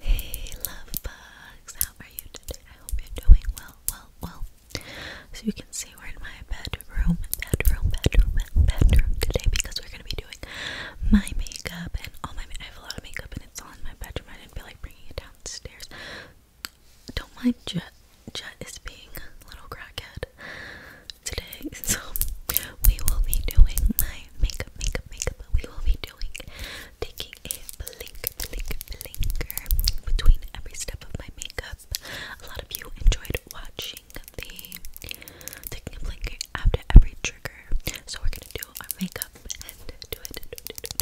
Hey love bugs, how are you today? I hope you're doing well, well, well. So you can see we're in my bedroom, bedroom, bedroom, bedroom today because we're gonna be doing my makeup and all my. I have a lot of makeup and it's all in my bedroom. I didn't feel like bringing it downstairs. Don't mind Jet. Jet is being a little crackhead today, so we will be doing my makeup, makeup, makeup. We will be taking a blink, blink, blinker between every step of my makeup. A lot of you enjoyed watching the taking a blinker after every trigger. So we're gonna do our makeup and do it to get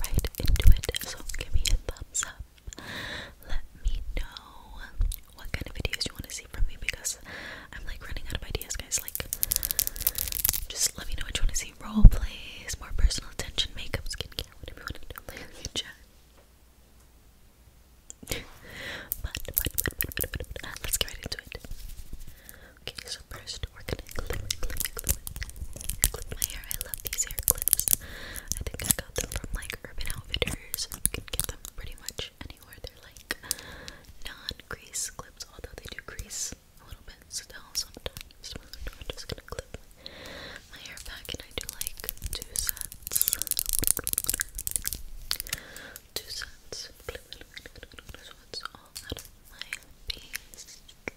right into it. So give me a thumbs up. Let me know what kind of videos you want to see from me because I'm like running out of ideas, guys. Like, just let me know what you want to see. Role plays, more personal attention, makeup, skincare, whatever you want to do. but, let's get right into it. Okay, so first we're gonna clip, clip, clip, clip my hair. I love these hair clips. I think I got them from like Urban Outfitters. You can get them pretty much anywhere. They're like non-crease clips, although they do crease a little bit still sometimes. So i just gonna clip my hair back, and I do like two sets. Two sets. So it's all out of my face. Now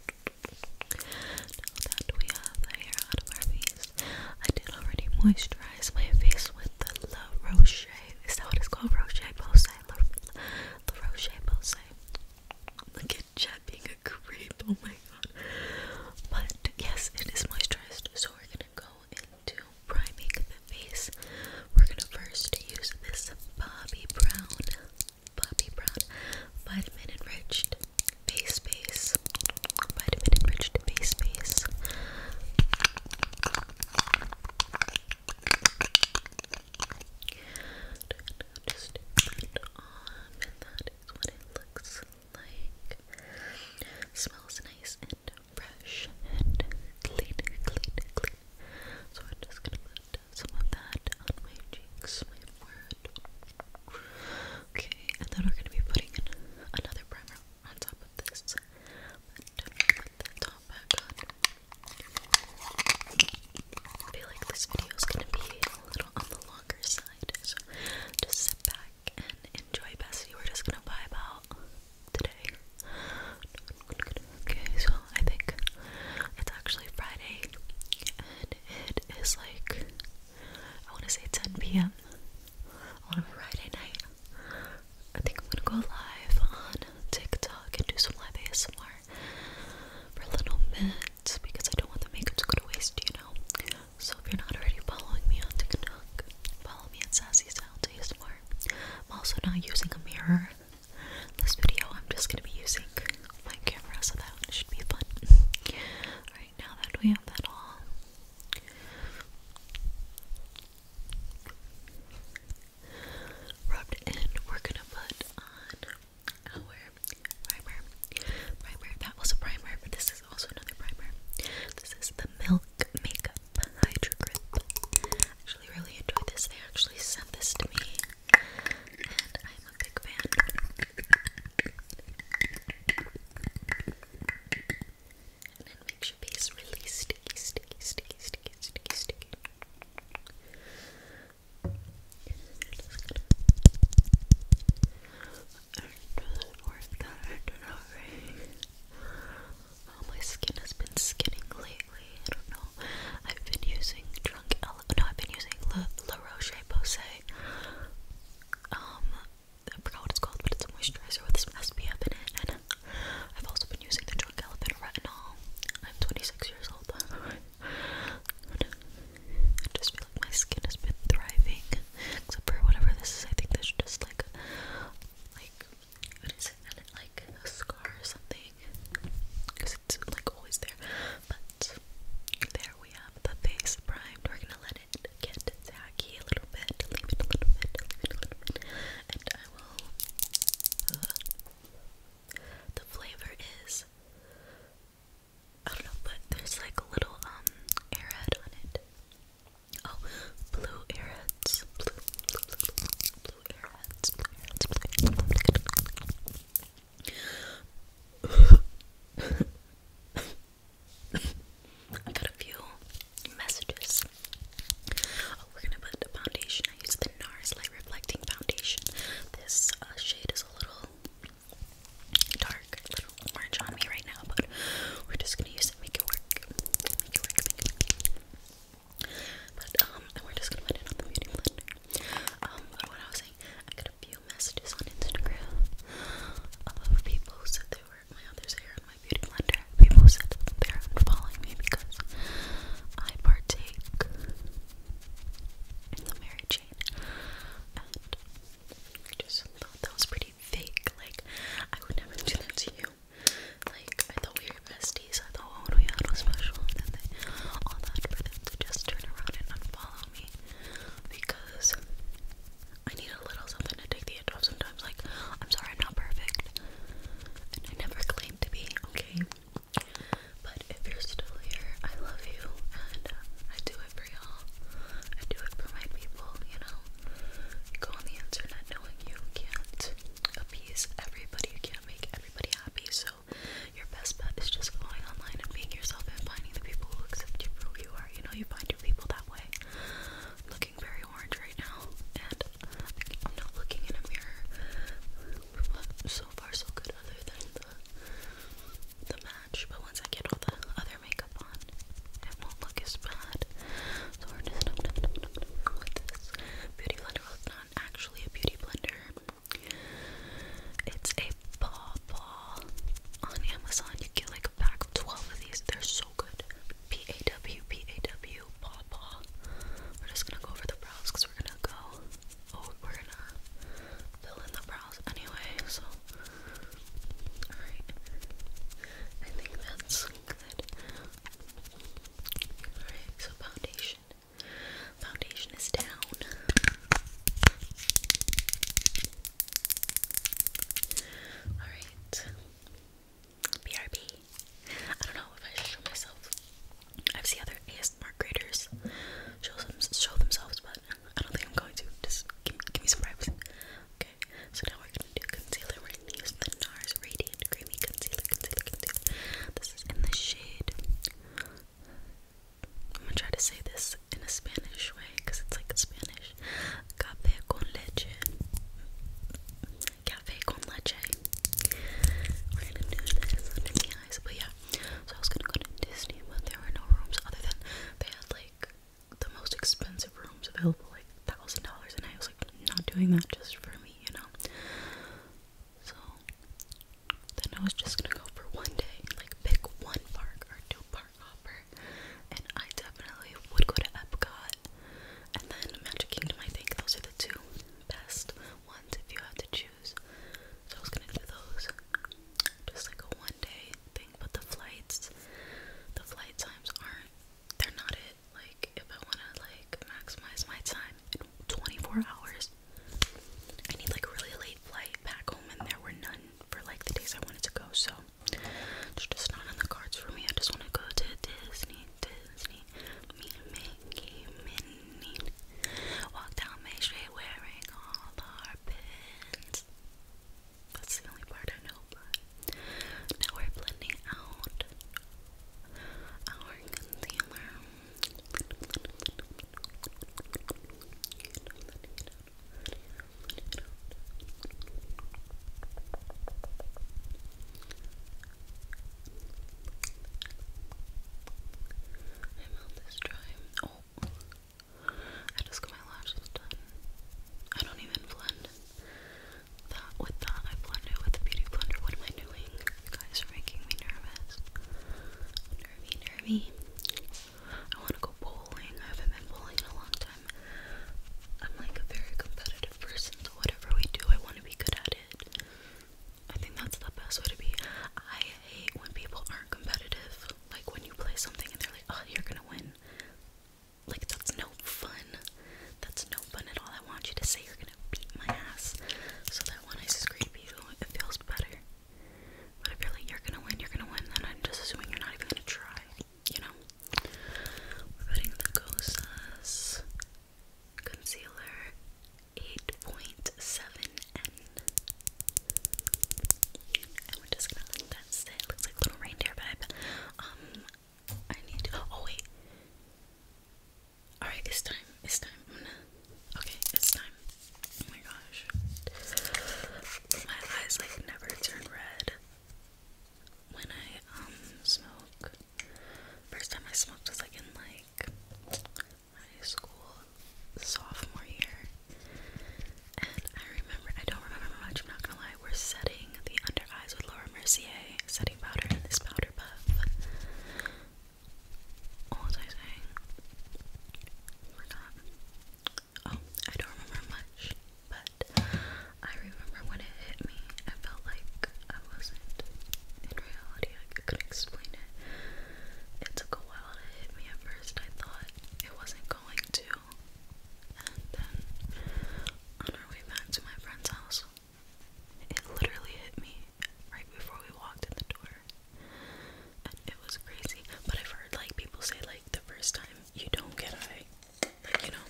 that we have the hair out of our face, I did already moisturize my face with the La Roche is that what it's called? Roche Posay. The Roche Posay. Look at Jet being a creep. Oh my god. But yes, it is moisturized. So we're gonna go into priming the face. We're gonna first use this Bobbi Brown, Bobbi Brown Vitamin Enriched Face Base. Vitamin Enriched Face Base. Just put on, and that is what it looks like. Smells nice and uh, fresh and clean, clean, clean. So I'm just gonna put some of that on my cheeks, my forehead. Okay, and then we're gonna be putting in another primer on top this, i put the top back on. I feel like this video is gonna be a little on the longer side, so just sit back and enjoy. Bessie, we're just gonna vibe out today. Okay, so I think it's actually Friday, and it is like I want to say 10 p.m. on a Friday night. I think I'm gonna go live on TikTok and do some live ASMR for a little bit because I don't want the makeup to go to waste, you know. So if you're not already following me on TikTok, follow me at Sassy Sounds ASMR. I'm also not using a mirror. This video I'm just gonna be using my camera, so that should be fun. Alright, now that we have that all rubbed in, we're gonna put on our primer. Primer, that was a primer, but this is also another primer. This is the Milk Makeup Hydro Grip. Actually, really enjoy this. They actually sent this to me, and I'm a big fan and it makes your base really sticky, sticky, sticky, sticky, sticky, sticky. Oh, my skin has been skinning lately. I don't know. I've been using drunk. Ele no, I've been using La, La Roche Posay. Um, I forgot what it's called, but it's a moisturizer with SPF in it. I've also been using the Drunk Elephant Retinol. I'm 26 years old. I just feel like my skin has been thriving, except for whatever this is. I think this just like, like what is it? Like a scar or something, because it's like always there. But there we have the face primed. We're gonna let let it get a little bit, a little bit, a little bit, and I will. Uh, the flavor is. I don't know, but there's like a little um airhead on it. Oh, blue airheads, blue, blue, blue, blue airheads. I got a few messages. Oh, we're gonna put the foundation. I use the NARS Light Reflecting Foundation. This uh, shade is a little dark, little orange on me right now, but we're just gonna use it, make it work. Make it work, make it work. But, um, and we're just gonna put it on the beauty blender. Um, but what I was saying, I got a few messages on Instagram of people who said they were my other's hair people said they're unfollowing me because I partake in the Mary and I just thought that was pretty fake. Like, I would never do that to you. Like, I thought we were besties. I thought what we had was special, and then they, all that for them to just turn around and unfollow me because I need a little something to take the edge off sometimes sometimes like, I'm sorry, I'm not perfect. And I never claim to be, okay? But if you're still here, I love you. And uh, I do it for y'all. I do it for my people, you know? You go on the internet knowing you can't appease everybody. You can't make everybody happy. So your best bet is just going online and being yourself and finding the people who accept you for who you are. You know, you find your people that way. Look very orange right now, and I'm not looking in a mirror. so far, so good, other than the, match. But once I get all the other makeup on, it won't look as bad. So we're just with this beauty blender. it's not actually a beauty blender. It's a paw paw on Amazon. You get like pack 12 of these. They're so good. P-A-W, P-A-W, paw paw. We're just gonna go over the brows we're gonna go, oh, we're gonna fill in the brows anyway, so, alright. I think that's good. Alright, so foundation. Foundation is down. Alright, BRB. I don't know if I should show myself. I've seen other ASMR creators show, show themselves, but I don't think I'm going to. Just give, me some vibes. Okay, so now we're going to do concealer. We're going to use the NARS Radiant Creamy Concealer, Concealer, Concealer. This is in the shade. I'm going to try to say this in a Spanish way because it's like Spanish. Café con leche. Café con leche. We're gonna do this under the eyes, but yeah. So I was gonna go to Disney, but there were no rooms other than they had like the most expensive rooms available, like thousand dollars, and I was like not doing that just for me, you know. So then I was just gonna go for one day, like pick one park or two parks. Hopper, and I definitely would go to Epcot and then Magic Kingdom. I think those are the two best ones if you had to choose. So I was gonna do those, just like a one-day thing. But the flights, the flight times aren't. They're not it. Like if I wanna like maximize my time in 24 hours, I need like a really late flight back home, and there were none for like the days I wanted to go. So it's just not in the cards for me. I just want to go to Disney, Disney, meet Mickey, Minnie. Walk down Main Street wearing all our pins. That's the only part I know, but now we're blending out our concealer. My mouth is dry. Oh, I just got my lashes done. I don't even blend that with that. I blend it with the beauty blender. What am I doing? You guys are making me nervous. Nervy, nervy. I want to go bowling. I haven't been bowling in a long time. I'm like a very competitive person, so whatever we do, I want to be good at it. I think that's the best way to be. I hate when people aren't competitive. Like when you play something and they're like, oh, you're gonna win. Like, that's no fun. That's no fun at all. I want you to say you're gonna beat my ass so that when I scream at you, it feels better. But if you're like, you're gonna win, you're gonna win, then I'm just assuming you're not even gonna try you know, we're putting the Gosa's Concealer 8.7N. And we're just gonna let that Looks like little reindeer vibe. Um, I need to, oh wait. Alright, it's time. It's time. okay, it's time. Oh my god. My eyes like never turn red when I um, smoke. First time I smoked was like in like high school sophomore year. And I remember I don't remember much, I'm not gonna lie, we're setting the under eyes with Laura Mercier setting powder in this powder puff. What was I saying? forgot. Oh Oh, I don't remember much, but I remember when it hit me, I felt like I wasn't in reality. I could not explain it. It took a while to hit me at first. I thought it wasn't going to. And then on our way back to my friend's house, it literally hit me right before we walked in the door. it was crazy. But I've heard like people say like the first time you don't get it, you know,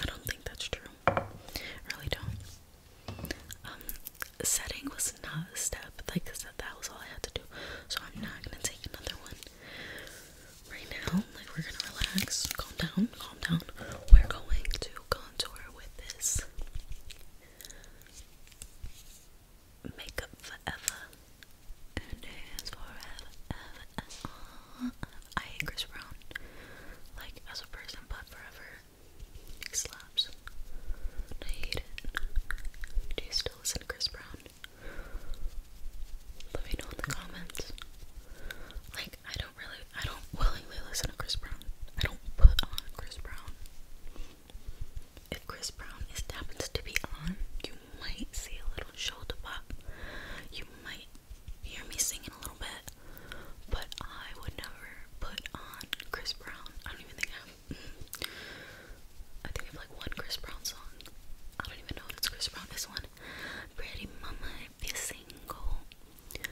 I don't think that's true. really don't. Um, setting was not step. Like I said, that was all I had to do. So I'm not gonna take another one right now. Like, we're gonna relax, calm down, calm down. We're going to contour with this makeup forever. Who knows forever, I hate Chris Brown, like as a person, but forever. It slaps. I hate it. Do you still listen to Chris Brown? Let me know in the comments. Like I don't really, I don't willingly listen to Chris Brown. I don't put on Chris Brown if Chris Brown is happens to be on, you might see a little shoulder pop. You might hear me singing a little bit, but I would never put on Chris Brown. I don't even think I I think I like one Chris Brown song. I don't even know if it's Chris Brown. This one, Pretty Mama, if single,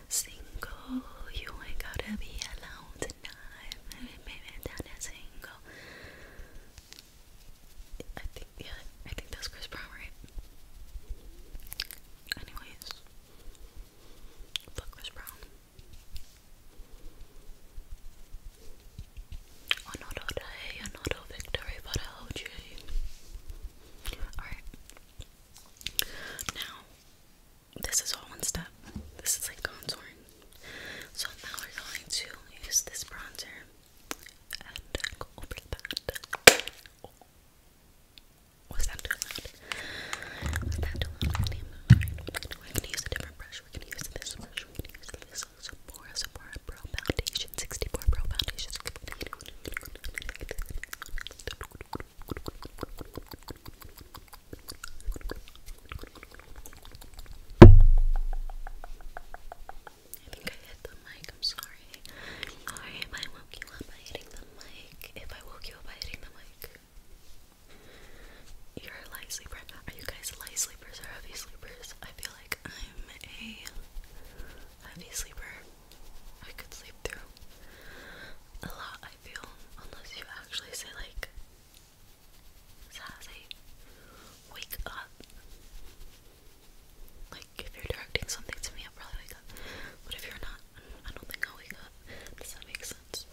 single, you ain't gotta be alone tonight. Maybe, maybe down single. I think yeah, I think that's Chris Brown, right? Anyways, fuck Chris Brown. Another day, another victory for the OG. Alright. Now, this is all one step. This is like contouring. So now we're going to use this bronzer and go over the pad. Oh. Was that too loud? Was that too loud? Really? Right. We're gonna use a different brush. We're gonna use this brush. We're gonna use this Sephora Sephora Pro Foundation 64 Pro Foundation. I think I hit the mic, I'm sorry. sorry if I woke you up by hitting the mic. If I woke you up by hitting the mic. You're a light sleeper. Are you guys light sleepers or heavy sleepers? I feel like I'm a heavy sleeper. I could sleep through a lot, I feel. Unless you actually say, like, Sassy. Wake up. Like, if you're directing something to me, I'll probably wake up. But if you're not, I don't think I'll wake up. Does that make sense?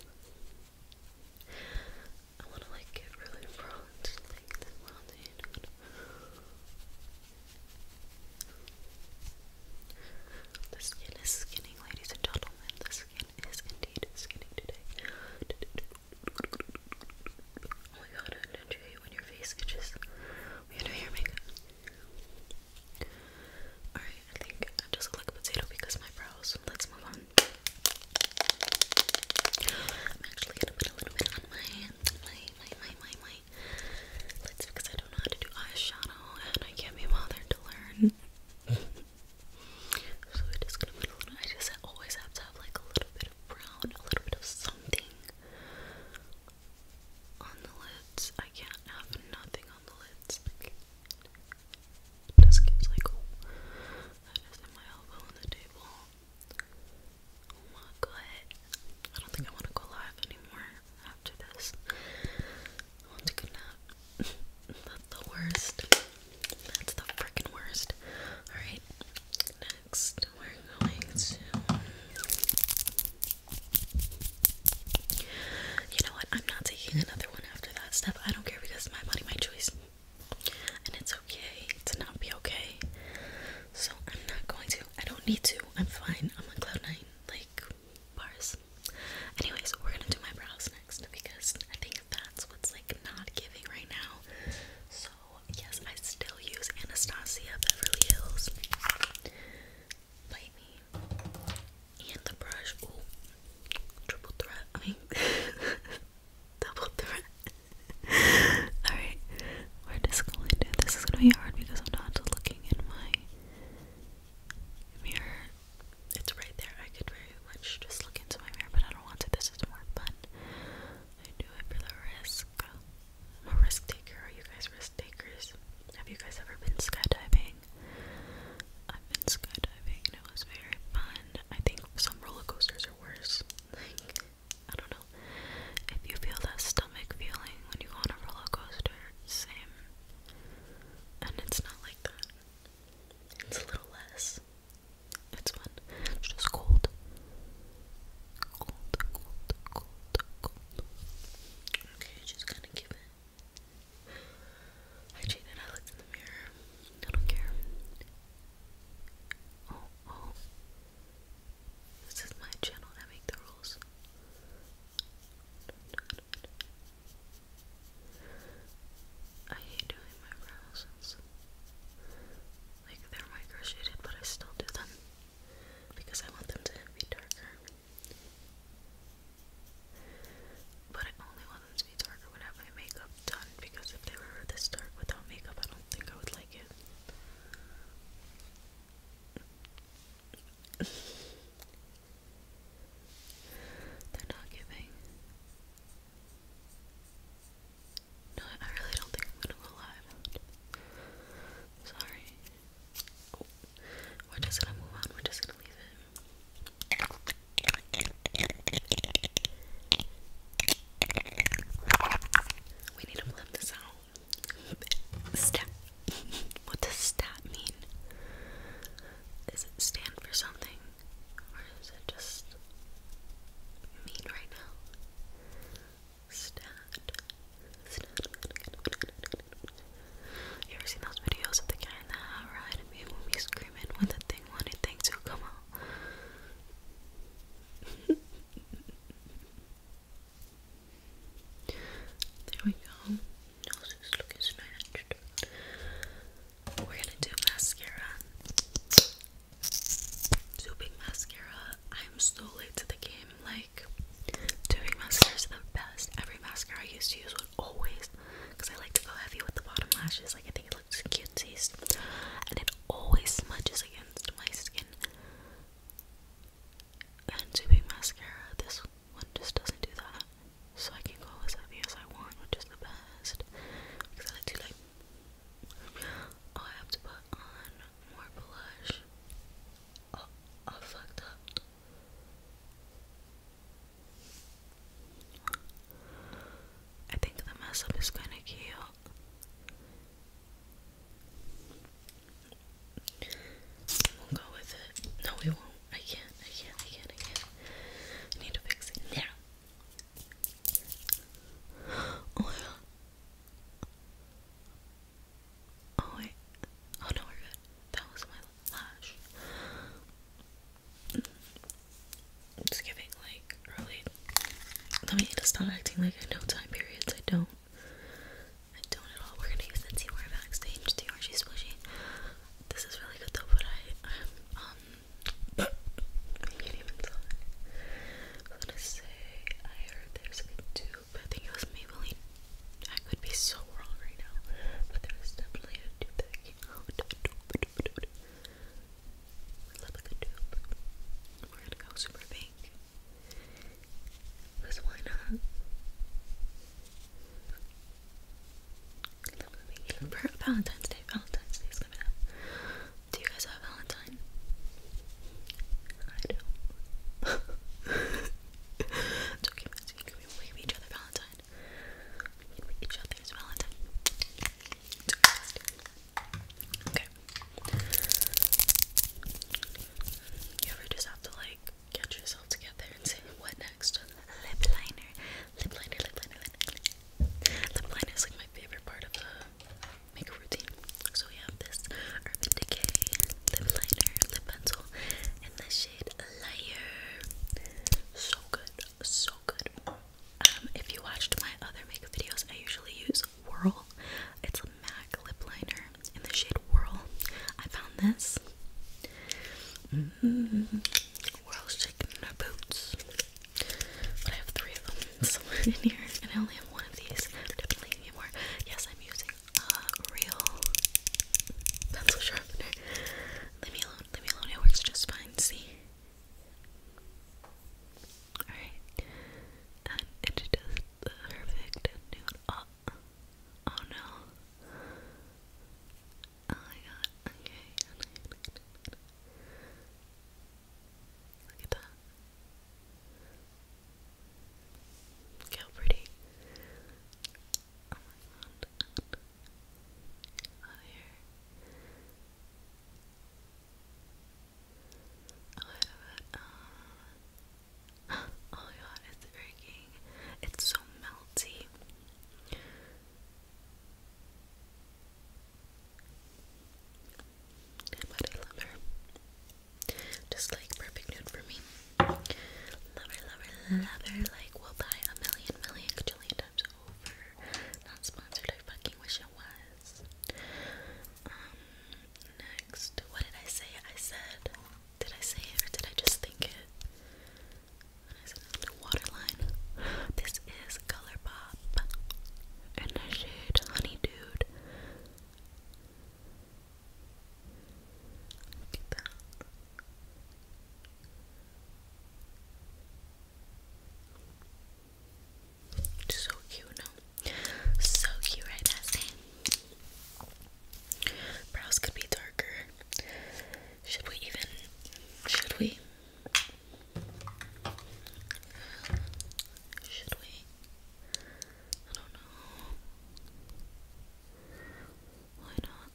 I want to, like, get really bronze. Like, the mountain. The skin is skinning, ladies and gentlemen. The skin is indeed skinning today. Oh my god, I don't you hate when your face itches when you do your Alright, I think I just like potato because my brows. Let's move on. I'm actually gonna put a little bit on my my my my my my lids because I don't know how to do eyeshadow and I can't be bothered to learn. So I just always have to have like a little bit of brown, a little bit of something on the lids. I can't have nothing on the lids. Like, it like oh, that is in my on the table. Oh my I don't think I want to go live anymore after this. want to go nap. That's the worst. That's the freaking worst. Alright, next we're going to. You know what? I'm not taking another one after that step. I don't care because my body, my choice. And it's okay to not be okay. So I'm not going to. I don't need to. I'm fine. I'm a cloud nine. Like, bars. Anyways, we're gonna do my brows because I think that's what's like not giving right now. So, yes, I still use Anastasia Beverly Hills. Bite me. And the brush. Triple threat. I mean, double threat. Alright. We're just going to. This is going to be hard because I'm not looking in my mirror it's right there. I could very much just look into my mirror, but I don't want to. This is more fun. I do it for the risk. I'm a risk taker. Are you guys risk takers? Have you guys ever been skydiving? I've been skydiving and it was very fun. I think some roller coasters are worse. I don't know. If you feel that stomach feeling when you go on a roller coaster, same. And it's not like that. It's a little less. It's fun. It's just cold. Cold, cold, cold, cold. Okay, just kind of give it. I cheated. I looked in the mirror. I don't care. Oh, oh. This is my channel. I make the rules. I hate doing my brows. Like they're micro but I still do them because I want them to be darker. But I only want them to be darker when I have my makeup done because if they were this dark without makeup, I don't think I would like it. They're not giving no, I really don't think I'm gonna go live. Sorry. We're just gonna move on. We're just gonna leave it. We need to blend this out. Step. what does stat mean? Does it stand for something? Or is it just mean right now? Stat. Stat. You ever seen those videos of the guy in the hot ride and people be screaming when the thing wanted things to come out? There we go. Nose is looking snatched. We're gonna do mascara. Doing mascara. I'm so late to the game. Like, doing mascara is the best. Every mascara I used to use would always, because I like to go heavy with the bottom lashes. Like, I think it looks cute And it always smudges against my skin. And doing mascara, this one just doesn't do that so I can go as heavy as I want, which is the best. Because I like like. Oh, I have to put on more blush. Oh, I fucked up. I think the mess up is kind of cute. We'll go with it. No, we won't. I can't, I can't, I can't, I can't. I need to fix it oh, Yeah. Oh my Oh wait. Oh no, we're good. That was my lash. Mm. It's giving like early. Let me need stop acting like I know time periods. I don't. I don't at all. We're gonna use the Dior backstage. Dior, she's squishy. This is really good though, but I, um, I was gonna say I heard there's a dupe. I think it was Maybelline. I could be so wrong right now, but there was definitely a dupe that dupe. We're gonna go super pink. Cause why not? Valentine's Day. Valentine's Day coming up. Do you guys have Valentine? I do it's okay, Max. can wave each other Valentine. You can each Valentine. Okay. You ever just have to like get yourself together and say, what next? Lip liner. Lip liner, lip liner, lip liner is like my favorite part of the makeup routine. So we have this Urban Decay lip liner, lip pencil, in the shade Layer. So good, so good. Um, if you watched my other makeup videos, I usually use Whirl. It's a MAC lip liner in the shade Whirl. I found this. Mm. We're all shaking in our boots. But I have three of them in here, and I only have one of these. Definitely need more. Yes, I'm using uh, real pencil sharpener. Leave me alone. Leave me alone. It works just fine. See. Alright, and it does the perfect nude. oh no. Oh my god, okay. Look at that. Look pretty. Oh my god. Out here. oh my god, it's freaking. It's so melty. But I love her. Just like perfect nude for me. Love her, love Like, we'll buy a million, million, times over. Not sponsored, I fucking wish it was. Um, next, what did I say? I said, did I say it did I just think it? What is it? Waterline. This is Color Pop. the shade Honey Look at that. so cute, no? So cute, right? That Brows could be darker. Should we even? Should we? Should we? I don't know. Why not?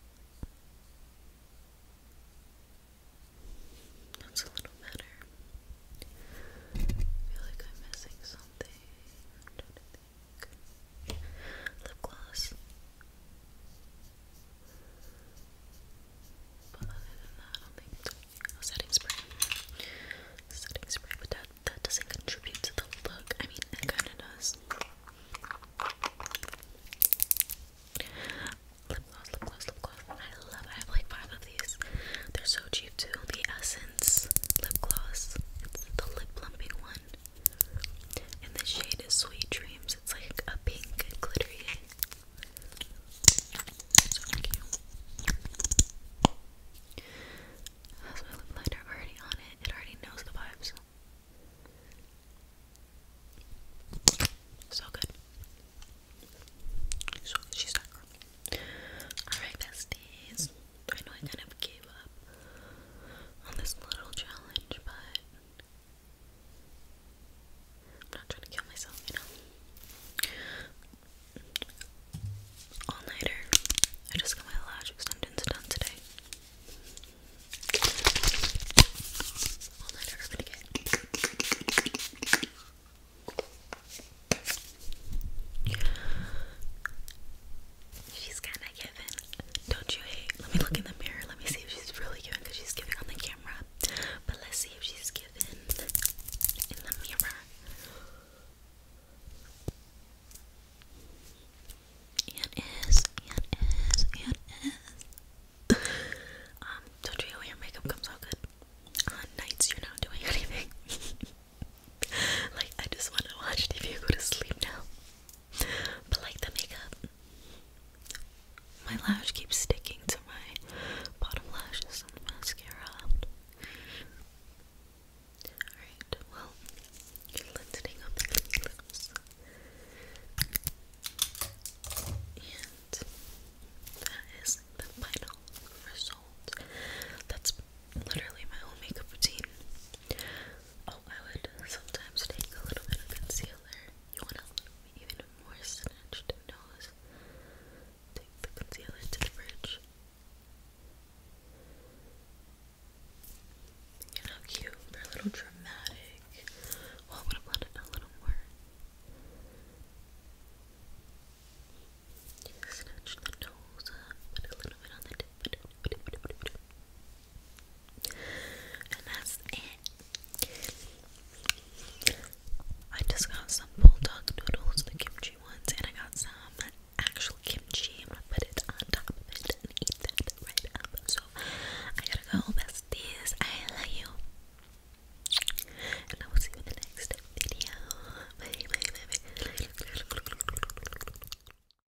That's a little better. I feel like I'm missing something lip gloss. But other than that, I don't think oh, setting spray. Setting spray, but that that doesn't contribute to the look. I mean, it kind of does. Lip gloss, lip gloss, lip gloss. I love I have like five of these. They're so cheap too. The Essence lip gloss. It's the lip plumping one one. And the shade is Sweet Dreams. It's like a pink glittery. That's my lip liner already on it. It already knows the vibes. So good. She's that girl. Alright, besties. I know I kind of gave up on this little challenge, but I'm not trying to kill myself, you know. All nighter. I just got my lash extensions done today. All nighter again. She's kinda giving. Don't you hate? Let me look in the mirror. Let me see if she's really giving because she's giving on the camera. But let's see if she's giving in the mirror. It is, it is, it is. Um, don't you know your makeup comes out good? On nights you're not doing anything. like I just want to watch TV go to sleep now. But like the makeup, my lash keeps sticking to my bottom lashes and the mascara. Alright, well, let's take off And that is the final result. That's literally my whole makeup routine. Oh, I would sometimes take a little bit of concealer. You want a even more snatched nose. Take the concealer to the bridge. You know, cute. a little dramatic. I'm gonna blend it a little more. Snatch the nose up, put a little bit on the tip. And that's it. I just got some bulldog noodles, the kimchi ones, and I got some actual kimchi. i put it on top of it and eat that right up. So I gotta go. That's this. I love you. And I will see you in the next video. Bye, bye, bye, bye.